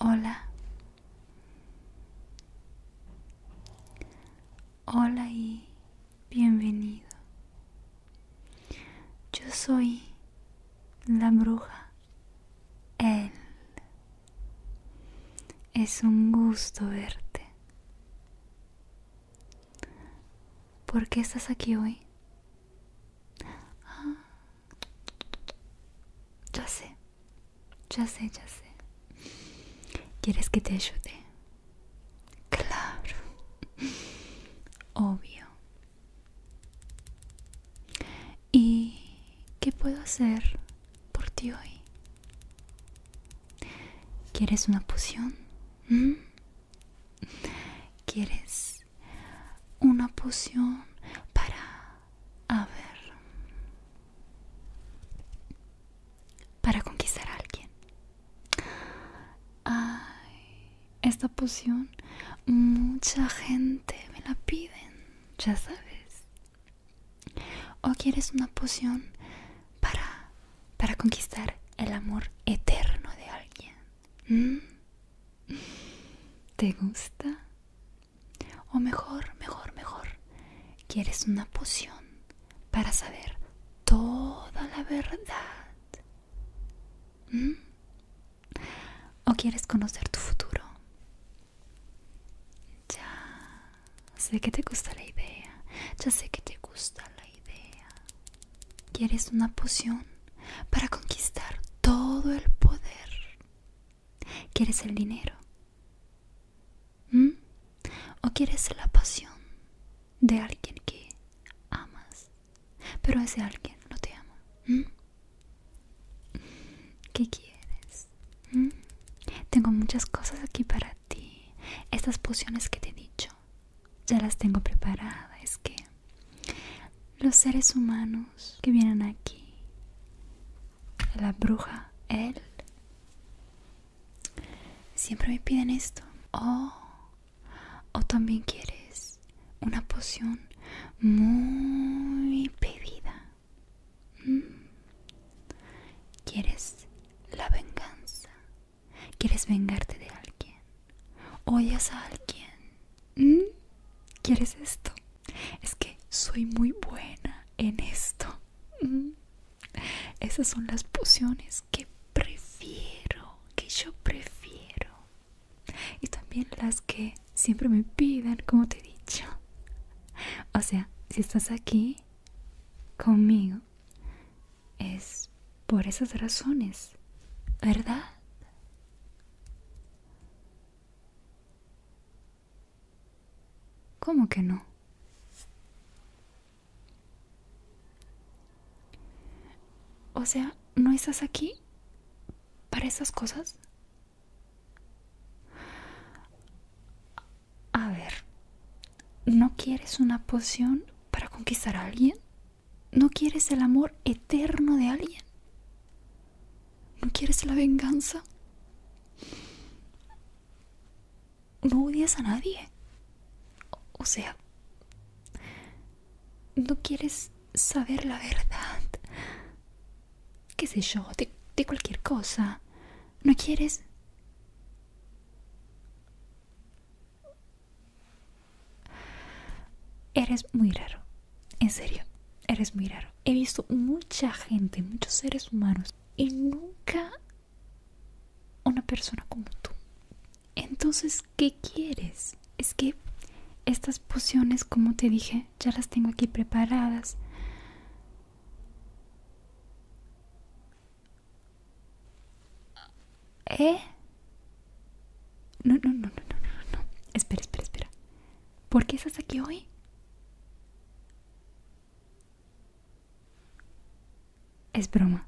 Hola. Hola y bienvenido. Yo soy la bruja. Él. Es un gusto verte. ¿Por qué estás aquí hoy? ya sé, ya sé, ya sé. ¿Quieres que te ayude? Claro, obvio. ¿Y qué puedo hacer por ti hoy? ¿Quieres una poción? ¿Mm? ¿Quieres una poción para a ver para conquistar a alguien Ay, esta poción mucha gente me la piden ya sabes o quieres una poción para para conquistar el amor eterno de alguien ¿Mm? ¿Te gusta? O mejor, mejor, mejor, quieres una poción para saber toda la verdad. ¿Mm? ¿O quieres conocer tu futuro? Ya sé que te gusta la idea, ya sé que te gusta la idea. Quieres una poción para conquistar todo el poder. ¿Quieres el dinero? ¿Mm? ¿O quieres la pasión de alguien que amas? Pero ese alguien no te ama. ¿Mm? ¿Qué quieres? ¿Mm? Tengo muchas cosas aquí para ti. Estas pociones que te he dicho ya las tengo preparadas. Es que los seres humanos que vienen aquí, la bruja, él, siempre me piden esto. Oh, o también quieres una poción muy pedida. Mm. ¿Quieres la venganza? ¿Quieres vengarte de alguien? Oyes a alguien? ¿Mm? ¿Quieres esto? Es que soy muy buena en esto. ¿Mm? Esas son las pociones que prefiero, que yo prefiero. Y también las que siempre me pidan, como te he dicho. O sea, si estás aquí conmigo, es por esas razones, ¿verdad? ¿Cómo que no? O sea, ¿no estás aquí para esas cosas? A ver, ¿no quieres una poción para conquistar a alguien? ¿No quieres el amor eterno de alguien? ¿No quieres la venganza? ¿No odias a nadie? O sea, ¿no quieres saber la verdad? ¿Qué sé yo? De, de cualquier cosa. ¿No quieres? Eres muy raro, en serio, eres muy raro. He visto mucha gente, muchos seres humanos y nunca una persona como tú. Entonces, ¿qué quieres? Es que estas pociones, como te dije, ya las tengo aquí preparadas. ¿Eh? No, no, no, no, no, no, no. Espera, espera, espera. ¿Por qué estás aquí hoy? Es broma.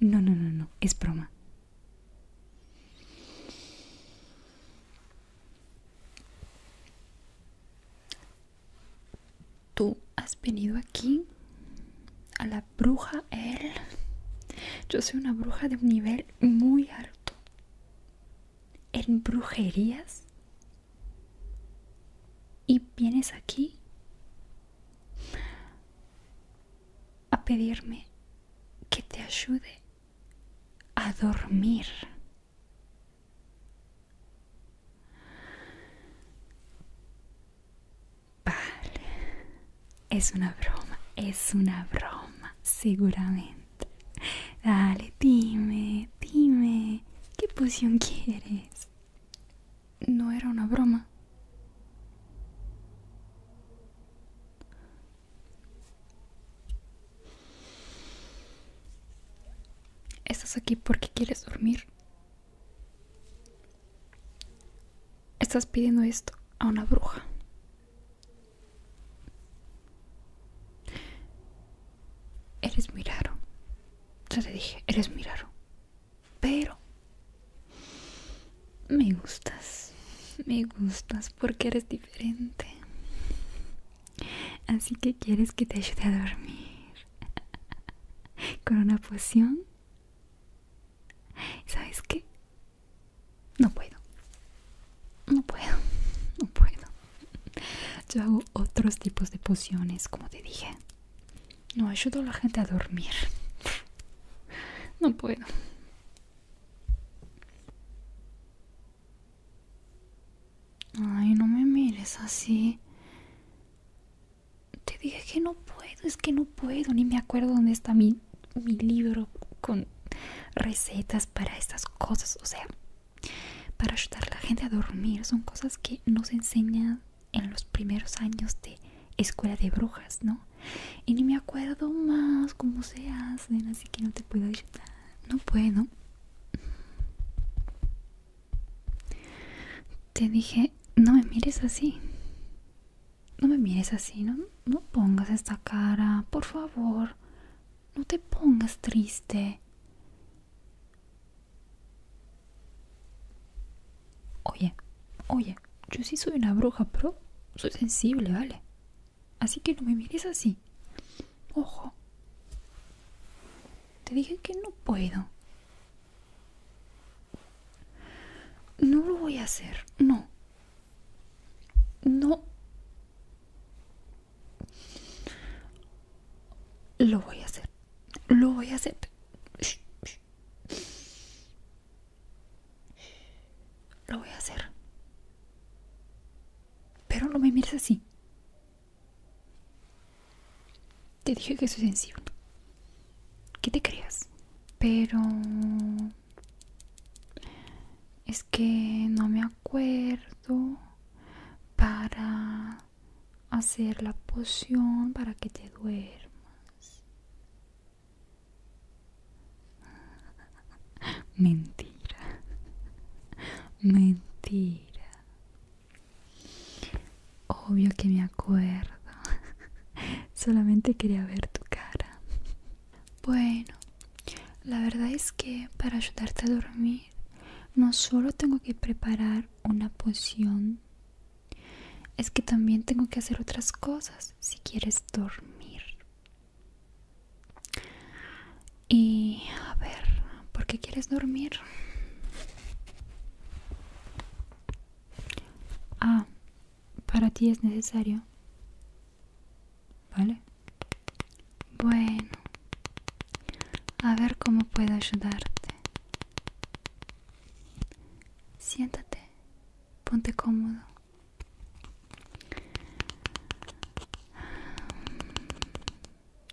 No, no, no, no. Es broma. ¿Tú has venido aquí? bruja él. Yo soy una bruja de un nivel muy alto. En brujerías. Y vienes aquí a pedirme que te ayude a dormir. Vale, es una broma, es una broma, seguramente. Dale, dime, dime, ¿qué poción quieres? No era una broma. ¿Estás aquí porque quieres dormir? Estás pidiendo esto a una bruja. Eres muy raro. Ya te dije, eres muy raro. Pero me gustas. Me gustas porque eres diferente. Así que quieres que te ayude a dormir. Con una poción. ¿Sabes qué? No puedo. No puedo. No puedo. Yo hago otros tipos de pociones, como te dije. No ayudo a la gente a dormir. No puedo. Ay, no me mires así te dije que no puedo, es que no puedo, ni me acuerdo dónde está mi, mi libro con recetas para estas cosas, o sea, para ayudar a la gente a dormir, son cosas que nos enseñan en los primeros años de escuela de brujas, ¿no? Y ni me acuerdo más cómo se hacen, así que no te puedo ayudar, no puedo. Te dije, no me mires así. No me mires así, no, no pongas esta cara, por favor. No te pongas triste. Oye, oye, yo sí soy una bruja, pero soy sensible, ¿vale? Así que no me mires así. Ojo. Te dije que no puedo. No lo voy a hacer, no. No. Lo voy a hacer. Lo voy a hacer. Lo voy a hacer. Pero no me mires así. Te dije que soy sensible. ¿Qué te creas? Pero... Es que no me acuerdo para hacer la poción para que te duermas. Mentira. Mentira. Obvio que me acuerdo. Solamente quería ver tu cara. Bueno, la verdad es que para ayudarte a dormir no solo tengo que preparar una poción, es que también tengo que hacer otras cosas si quieres dormir. Y a ver, ¿por qué quieres dormir? Ah, para ti es necesario. ¿Vale? Bueno. A ver cómo puedo ayudarte. Siéntate. Ponte cómodo.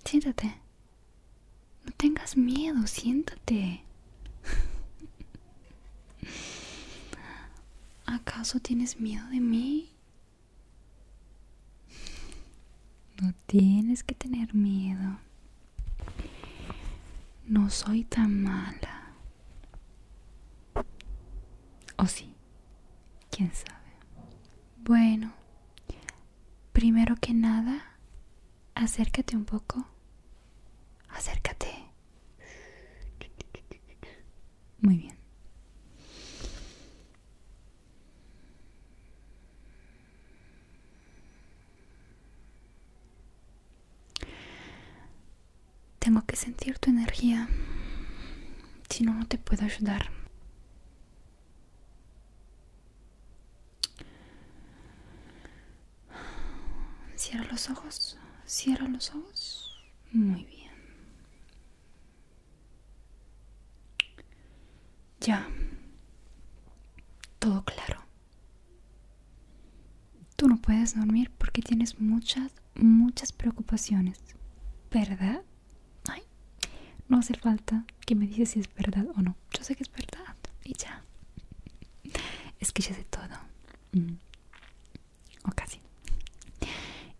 Siéntate. No tengas miedo, siéntate. ¿Acaso tienes miedo de mí? No tienes que tener miedo. No soy tan mala. ¿O sí? ¿Quién sabe? Bueno, primero que nada, Acércate un poco. Acércate. Muy bien. Tengo que sentir tu energía. Si no, no te puedo ayudar. Cierra los ojos, cierra los ojos. Muy bien. Ya. Todo claro. Tú no puedes dormir porque tienes muchas, muchas preocupaciones. ¿Verdad? no hace falta que me digas si es verdad o no. Yo sé que es verdad. Y ya es que ya sé todo. Mm. O casi.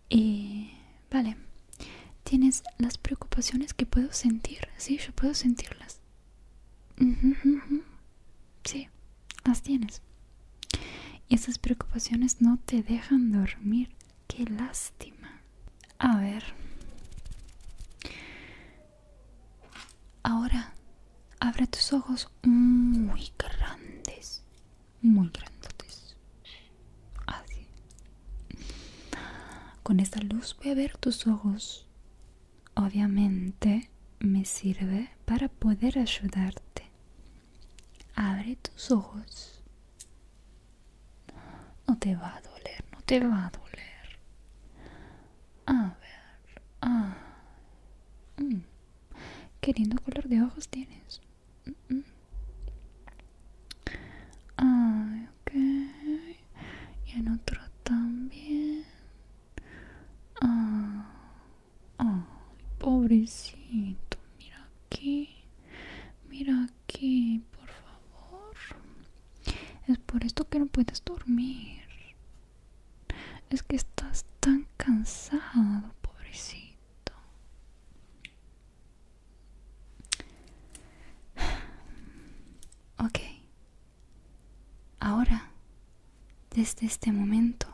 Y vale. Tienes las preocupaciones que puedo sentir. Sí, yo puedo sentirlas. Sí, las tienes. Y esas preocupaciones no te dejan dormir. Qué lástima. A ver. Ahora abre tus ojos muy grandes, muy grandes. Así. Con esta luz voy a ver tus ojos. Obviamente me sirve para poder ayudarte. Abre tus ojos. No te va a doler, no te va a doler. A ver. Ah. Mm. Qué lindo color de ojos tienes. Mm, mm. Y en otro también. Ah, ah. pobrecito. Mira aquí. Mira aquí, por favor. Es por esto que no puedes dormir. Es que estás tan cansado, pobrecito. Ok. Ahora, desde este momento,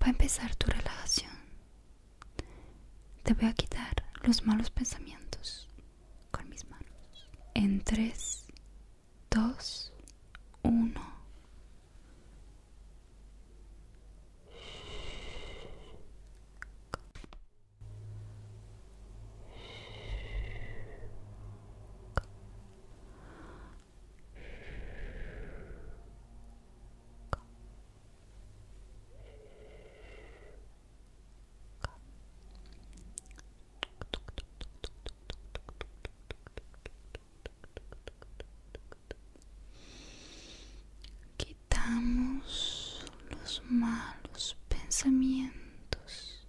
va a empezar tu relajación. Te voy a quitar los malos pensamientos con mis manos. En tres. 2 1 Quitamos los malos pensamientos.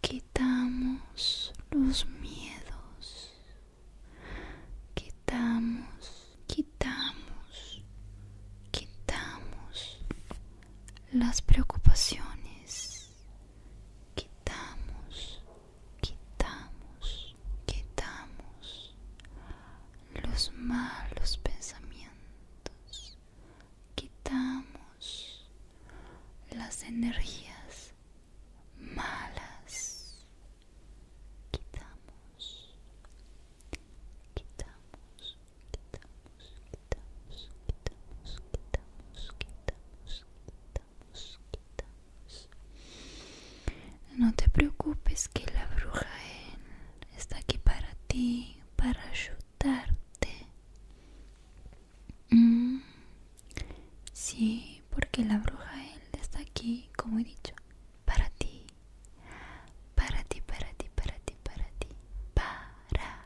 Quitamos los miedos. Quitamos, quitamos, quitamos las preocupaciones. Quitamos, quitamos, quitamos los malos pensamientos. Quitamos las energías malas. Quitamos, quitamos, no te preocupes que la bruja él está aquí para ti, para ayudarte. Mm, sí, porque la bruja él está aquí, como he dicho, para ti. Para ti, para ti, para ti, para ti. Para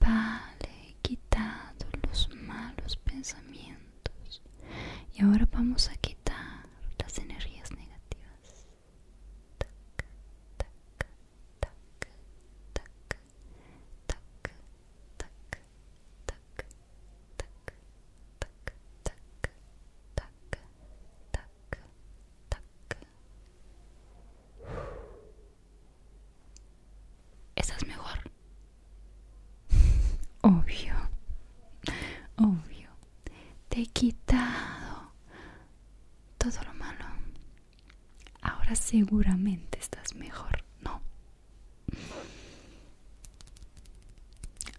vale, he quitado los malos pensamientos y ahora vamos a quitar las energías negativas. ¿Estás mejor? Obvio, obvio. Te he quitado todo lo malo. Ahora seguramente estás mejor, ¿no?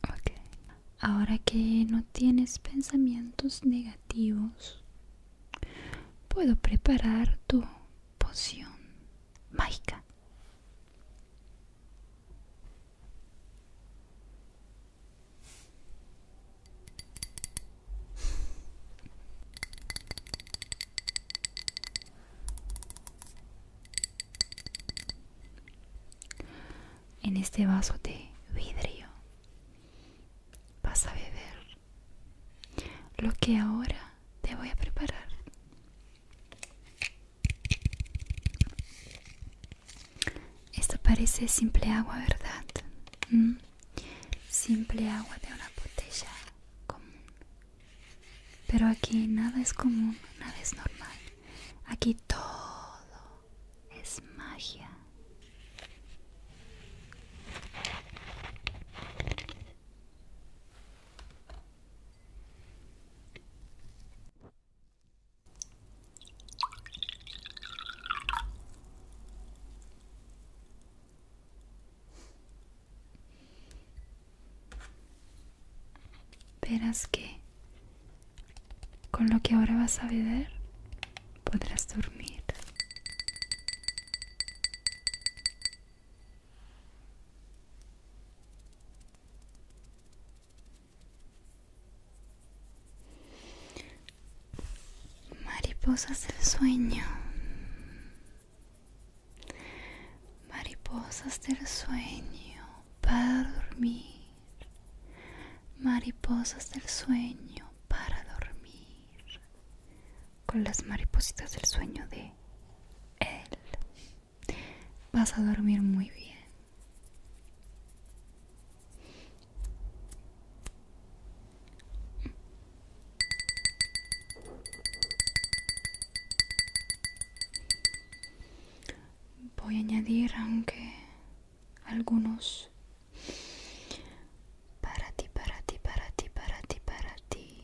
Ok. Ahora que no tienes pensamientos negativos, puedo preparar tu poción mágica. En este vaso de vidrio vas a beber lo que ahora te voy a preparar esto parece simple agua verdad mm. simple agua de una botella común pero aquí nada es común nada es normal aquí todo es magia Verás que con lo que ahora vas a beber podrás dormir. Mariposas del sueño. Mariposas del sueño para dormir. Mariposas del sueño para dormir con las maripositas del sueño de él. Vas a dormir muy bien. Voy a añadir aunque algunos para ti, para ti, para ti, para ti, para ti.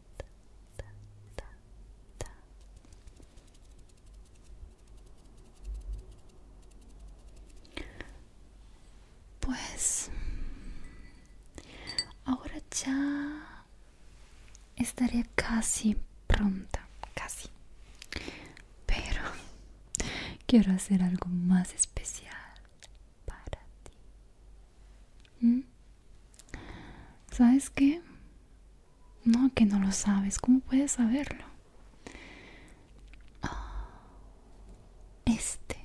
Pues ahora ya Estaría casi pronta, casi. Pero quiero hacer algo más especial para ti. ¿Mm? ¿Sabes qué? No, que no lo sabes. ¿Cómo puedes saberlo? Ah, este,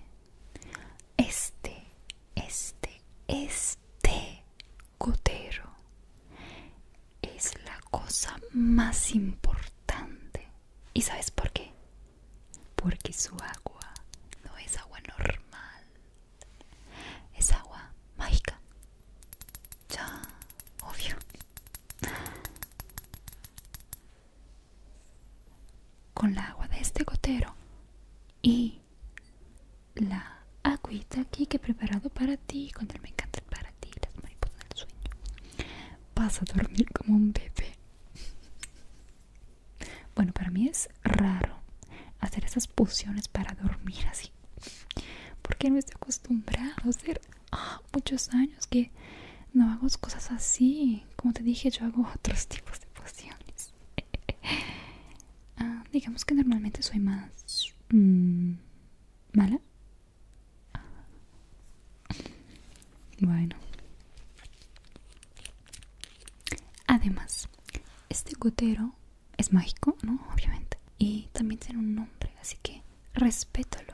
este, este, este gotero es la cosa más importante. ¿Y sabes por qué? Porque su agua no es agua normal, es agua mágica. Ya, obvio. Con la agua de este gotero y la agüita aquí que he preparado para ti, cuando me encanta para ti, las mariposas del sueño, vas a dormir como un bebé. Bueno, para mí es raro hacer esas pociones para dormir así porque no estoy acostumbrado a hacer ah, muchos años que no hago cosas así como te dije yo hago otros tipos de pociones ah, digamos que normalmente soy más mm, mala ah. bueno además este gotero es mágico, ¿no? Obviamente. Y también tiene un nombre, así que respétalo.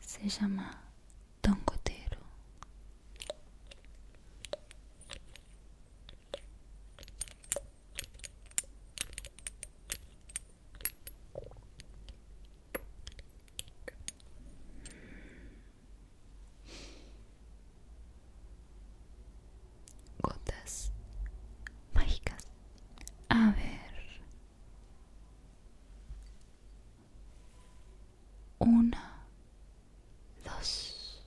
Se llama Don Cotero. Gotas mágicas. A ver. Una, dos,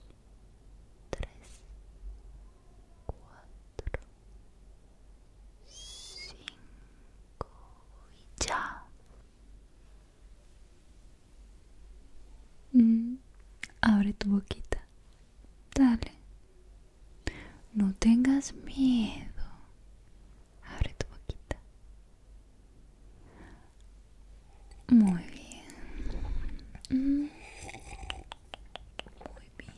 tres, cuatro, cinco y ya. Mm, abre tu boquita. Dale. No tengas miedo. Abre tu boquita. Muy bien. Mm. Muy bien.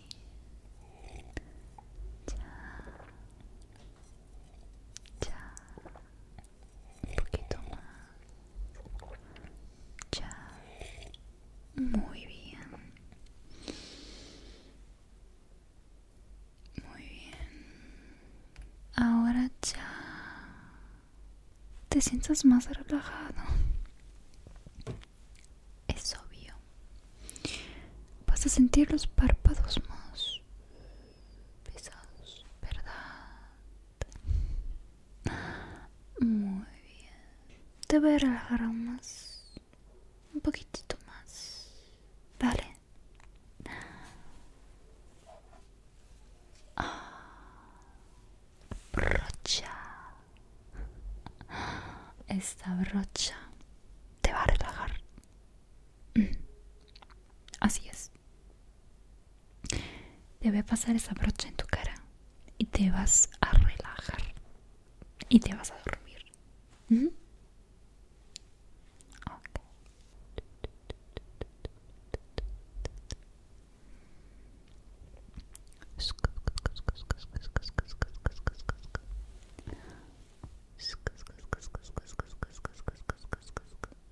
Ya. Ya. Un poquito más. Ya. Muy bien. Muy bien. Ahora ya. Te sientas más relajado. Es obvio. Vas a sentir los párpados más pesados, ¿verdad? Muy bien. Te voy a relajar aún más. Un poquitito más. Vale. Ah. Brocha. Esta brocha te va a relajar. Mm. Así es. Te pasar esa brocha en tu cara y te vas a relajar y te vas a dormir.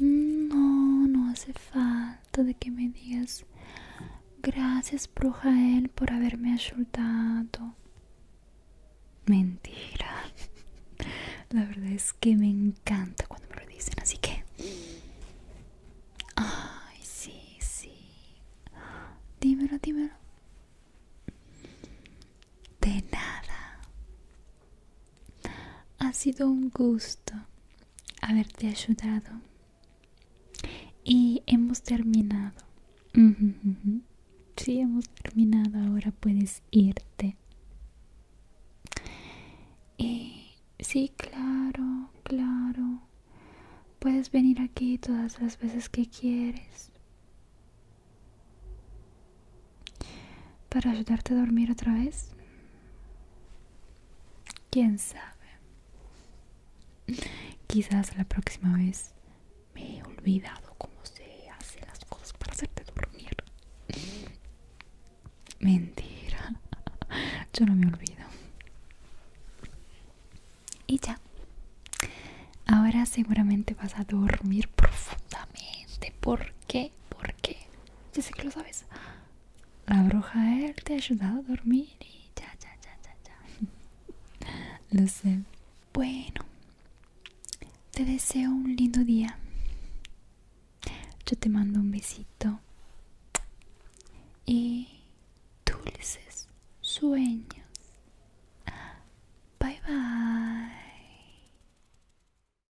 No, no hace falta de que me digas gracias, él por haberme ayudado. Mentira. La verdad es que me encanta cuando me lo dicen, así que... Ay, sí, sí. Dímelo, dímelo. De nada. Ha sido un gusto haberte ayudado. Y hemos terminado. Sí, hemos terminado. Ahora puedes irte. sí, claro, claro. Puedes venir aquí todas las veces que quieres para ayudarte a dormir otra vez quién sabe quizás la próxima vez me he olvidado cómo se hacen las cosas para hacerte dormir mentira yo no me olvido y ya ahora seguramente vas a dormir profundamente ¿por qué? ¿por qué? Ya sé que lo sabes. La bruja él te ha ayudado a dormir y ya, ya, ya, ya, ya. lo sé. Bueno, te deseo un lindo día. Yo te mando un besito. Y dulces sueños. Bye bye.